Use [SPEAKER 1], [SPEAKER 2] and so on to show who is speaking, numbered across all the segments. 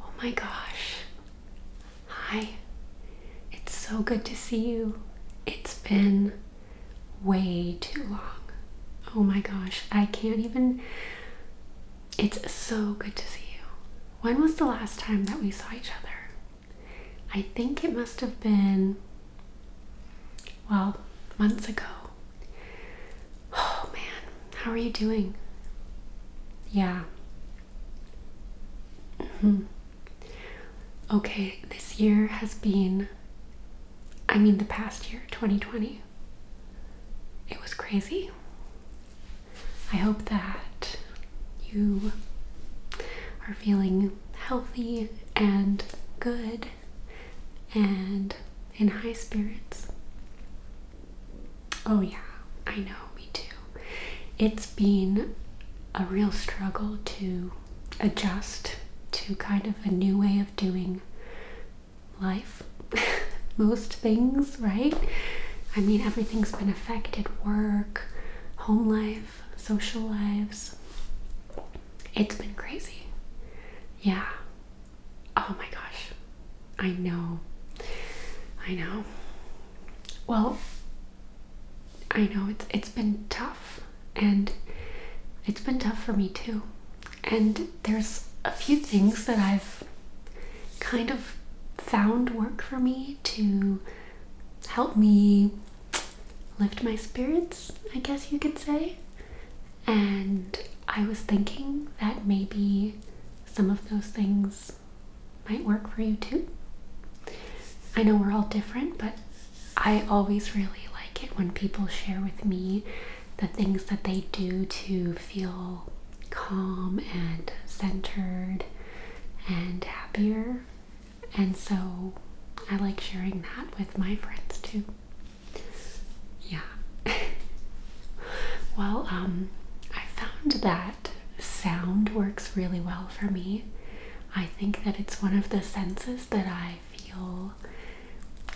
[SPEAKER 1] Oh my gosh. Hi. It's so good to see you. It's been way too long. Oh my gosh. I can't even. It's so good to see you. When was the last time that we saw each other? I think it must have been well, months ago. Oh man, how are you doing? Yeah. Mm-hmm. Okay, this year has been, I mean, the past year, 2020. It was crazy. I hope that you are feeling healthy and good and in high spirits. Oh, yeah, I know, me too. It's been a real struggle to adjust to kind of a new way of doing life. Most things, right? I mean, everything's been affected work, home life, social lives. It's been crazy. Yeah. Oh my gosh. I know. I know. Well, I know it's it's been tough and it's been tough for me too. And there's a few things that I've kind of found work for me to help me lift my spirits, I guess you could say. And I was thinking that maybe some of those things might work for you too. I know we're all different, but I always really like it when people share with me the things that they do to feel calm and centered and happier. And so I like sharing that with my friends too. Yeah. well, um, I found that sound works really well for me. I think that it's one of the senses that I feel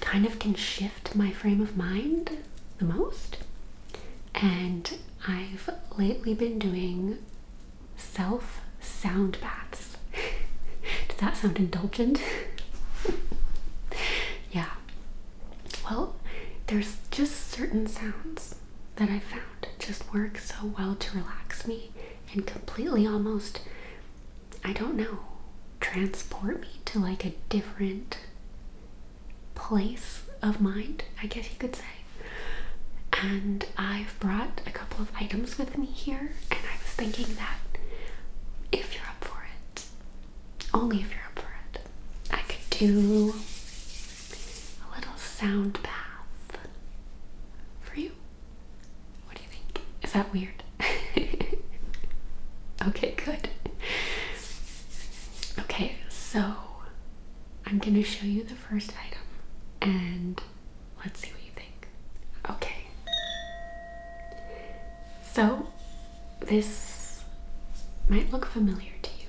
[SPEAKER 1] kind of can shift my frame of mind the most. And I've lately been doing self sound baths. Does that sound indulgent? yeah. Well, there's just certain sounds that I found just work so well to relax me and completely almost, I don't know, transport me to like a different place of mind, I guess you could say. And I brought a couple of items with me here, and I was thinking that if you're up for it, only if you're up for it, I could do a little sound bath for you. What do you think? Is that weird? okay, good. Okay, so I'm going to show you the first item and Let's see what you think. Okay. So, this might look familiar to you.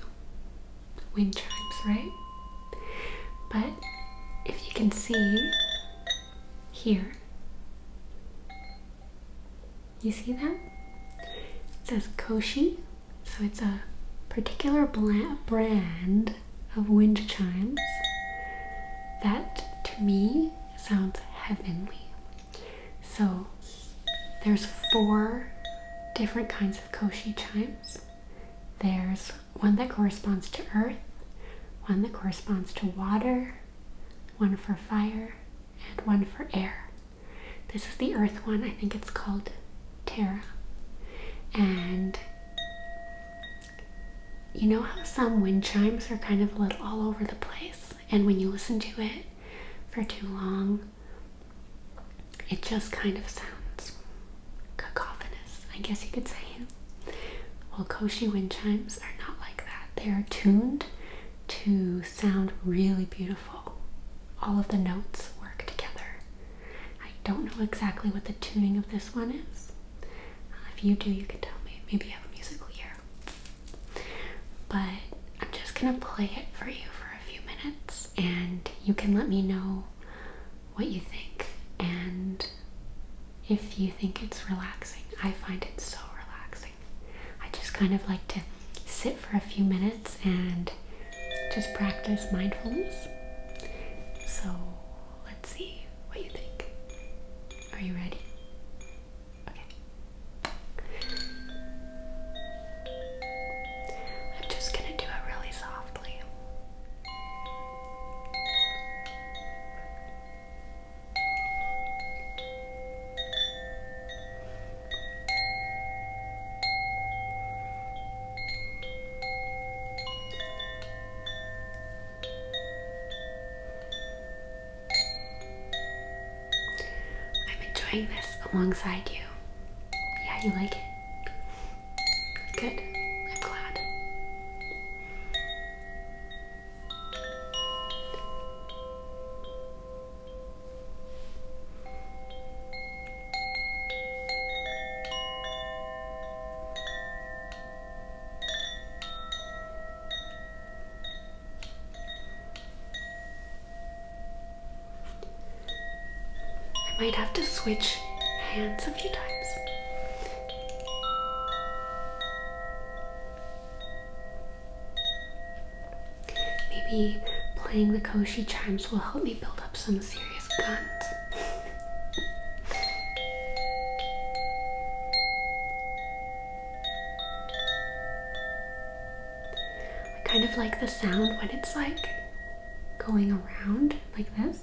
[SPEAKER 1] Wind chimes, right? But if you can see here, you see that? It says Koshi, so it's a particular brand of wind chimes. That to me sounds heavenly. So there's four different kinds of koshi chimes. There's one that corresponds to earth, one that corresponds to water, one for fire, and one for air. This is the earth one, I think it's called Terra. And you know how some wind chimes are kind of a little all over the place, and when you listen to it for too long, it just kind of sounds cacophonous, I guess you could say. Well, Koshi wind chimes are not like that. They are tuned to sound really beautiful. All of the notes work together. I don't know exactly what the tuning of this one is, if you do, you can tell me. Maybe you have a musical ear. But I'm just gonna play it for you for a few minutes, and you can let me know what you think and if you think it's relaxing. I find it so relaxing. I just kind of like to sit for a few minutes and just practice mindfulness. So let's see what you think. Are you ready? Okay. I'm just gonna do it really softly. I'm enjoying this alongside you. Yeah, you like it? Good. I'm glad. I might have to switch hands a few times. Maybe playing the Koshi chimes will help me build up some serious guns. I kind of like the sound when it's like going around like this.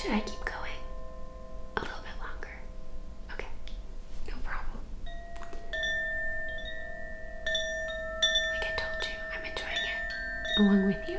[SPEAKER 1] Should I keep going a little bit longer? Okay, no problem. Like I told you, I'm enjoying it along with you.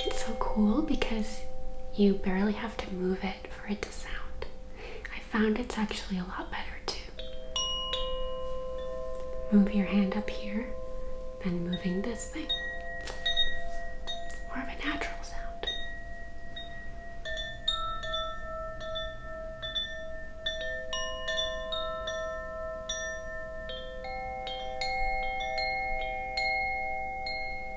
[SPEAKER 1] It's so cool because you barely have to move it for it to sound. I found it's actually a lot better to move your hand up here than moving this thing. More of a natural sound.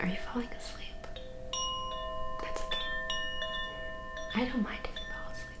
[SPEAKER 1] Are you falling asleep? That's okay. I don't mind if you fall asleep.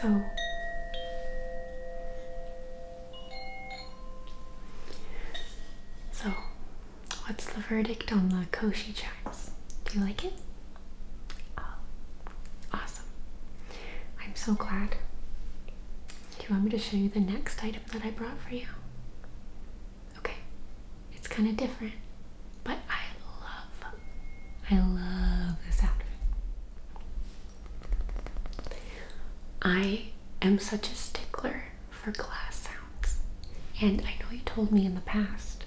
[SPEAKER 1] so, so what's the verdict on the Koshi charms? Do you like it? Oh, awesome. I'm so glad. Do you want me to show you the next item that I brought for you? Okay, it's kind of different, but I love, I love this outfit. I am such a stickler for glass sounds, and I know you told me in the past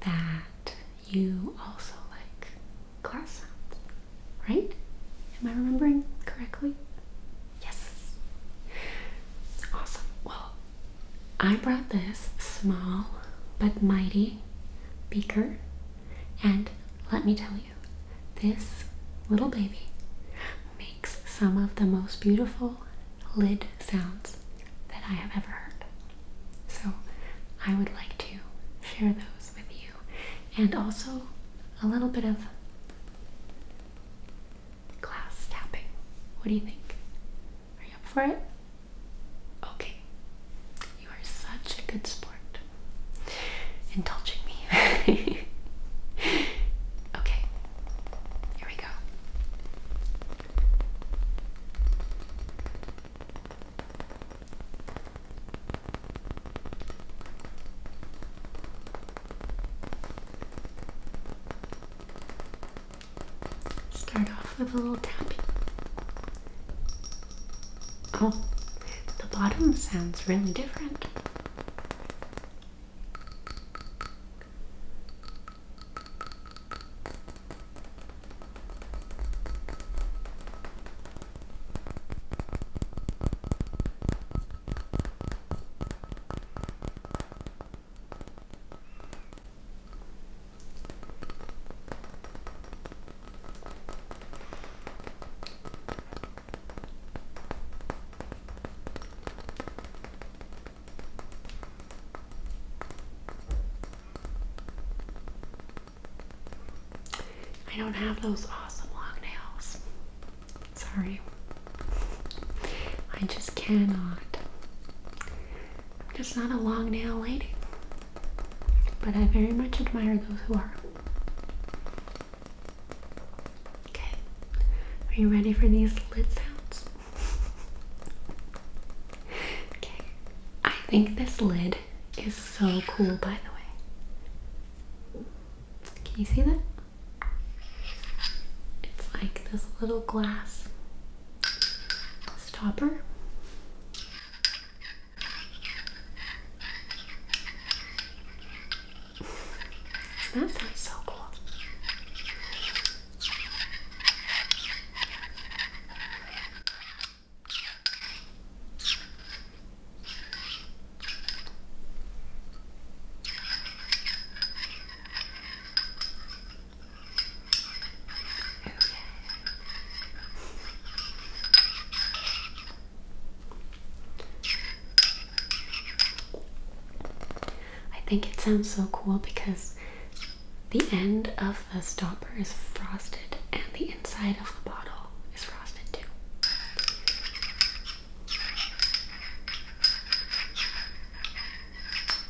[SPEAKER 1] that you also like glass sounds, right? Am I remembering correctly? Yes. Awesome. Well, I brought this small but mighty beaker, and let me tell you, this little baby makes some of the most beautiful lid sounds that I have ever heard. So I would like to share those with you, and also a little bit of glass tapping. What do you think? Are you up for it? Okay. You are such a good sport. Indulging me. okay. Here we go. Start off with a little tapping. Oh, the bottom sounds really different. I don't have those awesome long nails. Sorry. I just cannot. I'm just not a long nail lady. But I very much admire those who are. Okay, are you ready for these lid sounds? okay, I think this lid is so cool, by the way. Can you see that? It's like this little glass stopper. That sounds so cool. I think it sounds so cool because the end of the stopper is frosted and the inside of the bottle is frosted too.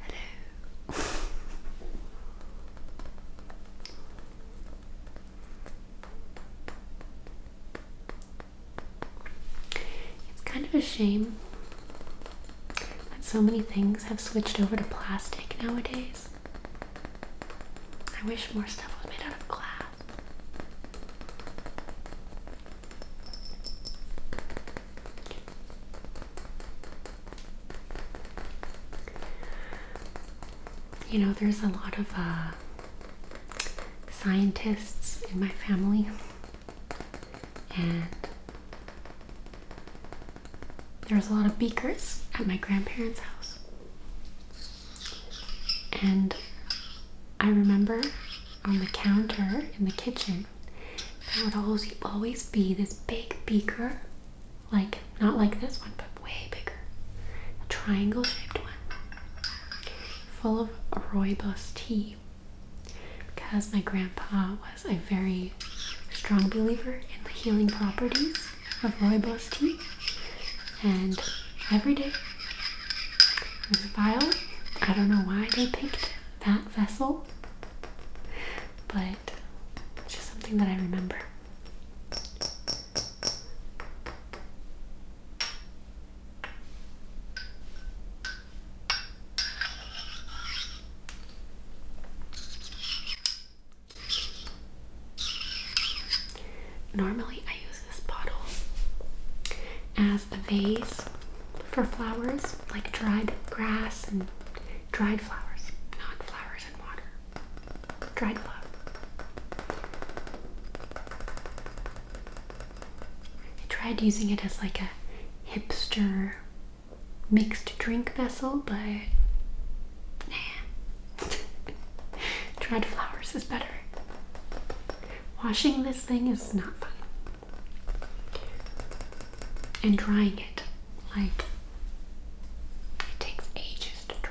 [SPEAKER 1] Hello. It's kind of a shame that so many things have switched over to plastic nowadays. I wish more stuff was made out of glass. You know, there's a lot of uh, scientists in my family, and there's a lot of beakers at my grandparents' house. And I remember on the counter in the kitchen, there would always, always be this big beaker, like not like this one, but way bigger, triangle shaped one, full of rooibos tea. Because my grandpa was a very strong believer in the healing properties of rooibos tea, and every day there's a violet. I don't know why they picked that vessel, but it's just something that I remember. Normally, I use this bottle as a vase for flowers, like dried grass and dried flowers, not flowers and water. Dried flower. I tried using it as like a hipster mixed drink vessel, but Dried flowers is better. Washing this thing is not fun. And drying it, like, it takes ages to dry.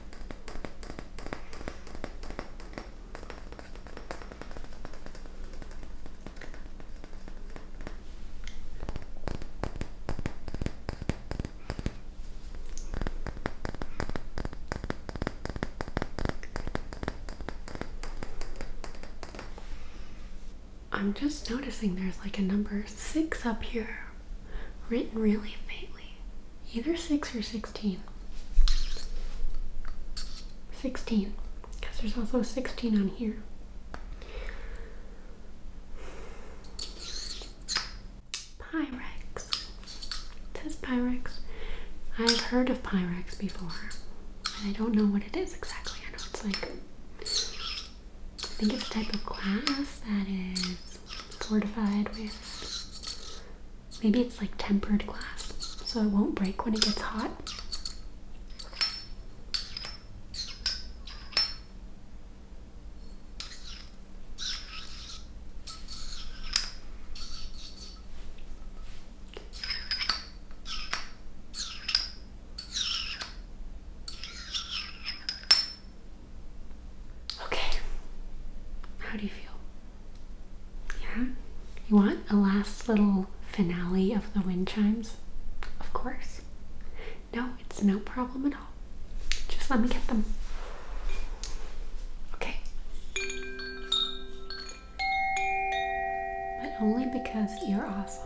[SPEAKER 1] I'm just noticing there's like a number six up here written really faintly, either 6 or 16. 16, because there's also 16 on here. Pyrex. It says Pyrex. I've heard of Pyrex before, and I don't know what it is exactly. I know it's like I think it's a type of glass that is fortified with. Maybe it's like tempered glass, so it won't break when it gets hot. Okay. How do you feel? Yeah? You want a last little finale of the wind chimes? Of course. No, it's no problem at all. Just let me get them. Okay. But only because you're awesome.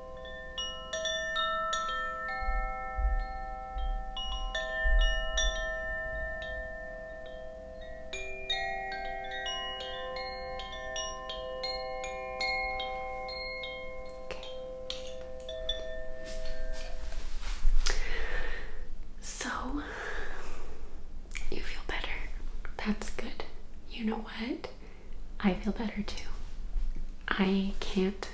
[SPEAKER 1] Okay. So you feel better. That's good. You know what? I feel better too. I can't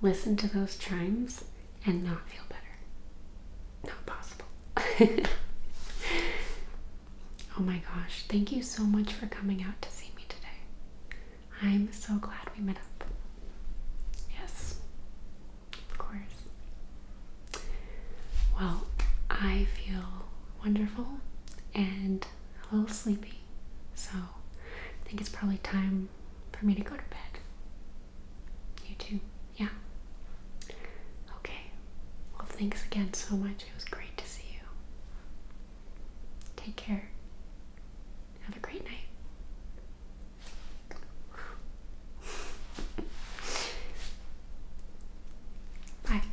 [SPEAKER 1] listen to those chimes and not feel better. Not possible. oh my gosh, thank you so much for coming out to see me today. I'm so glad we met up. Yes, of course. Well, I feel wonderful and a little sleepy. So I think it's probably time for me to go to bed. You too? Yeah. Okay. Well, thanks again so much. It was great to see you. Take care. Have a great night. Bye.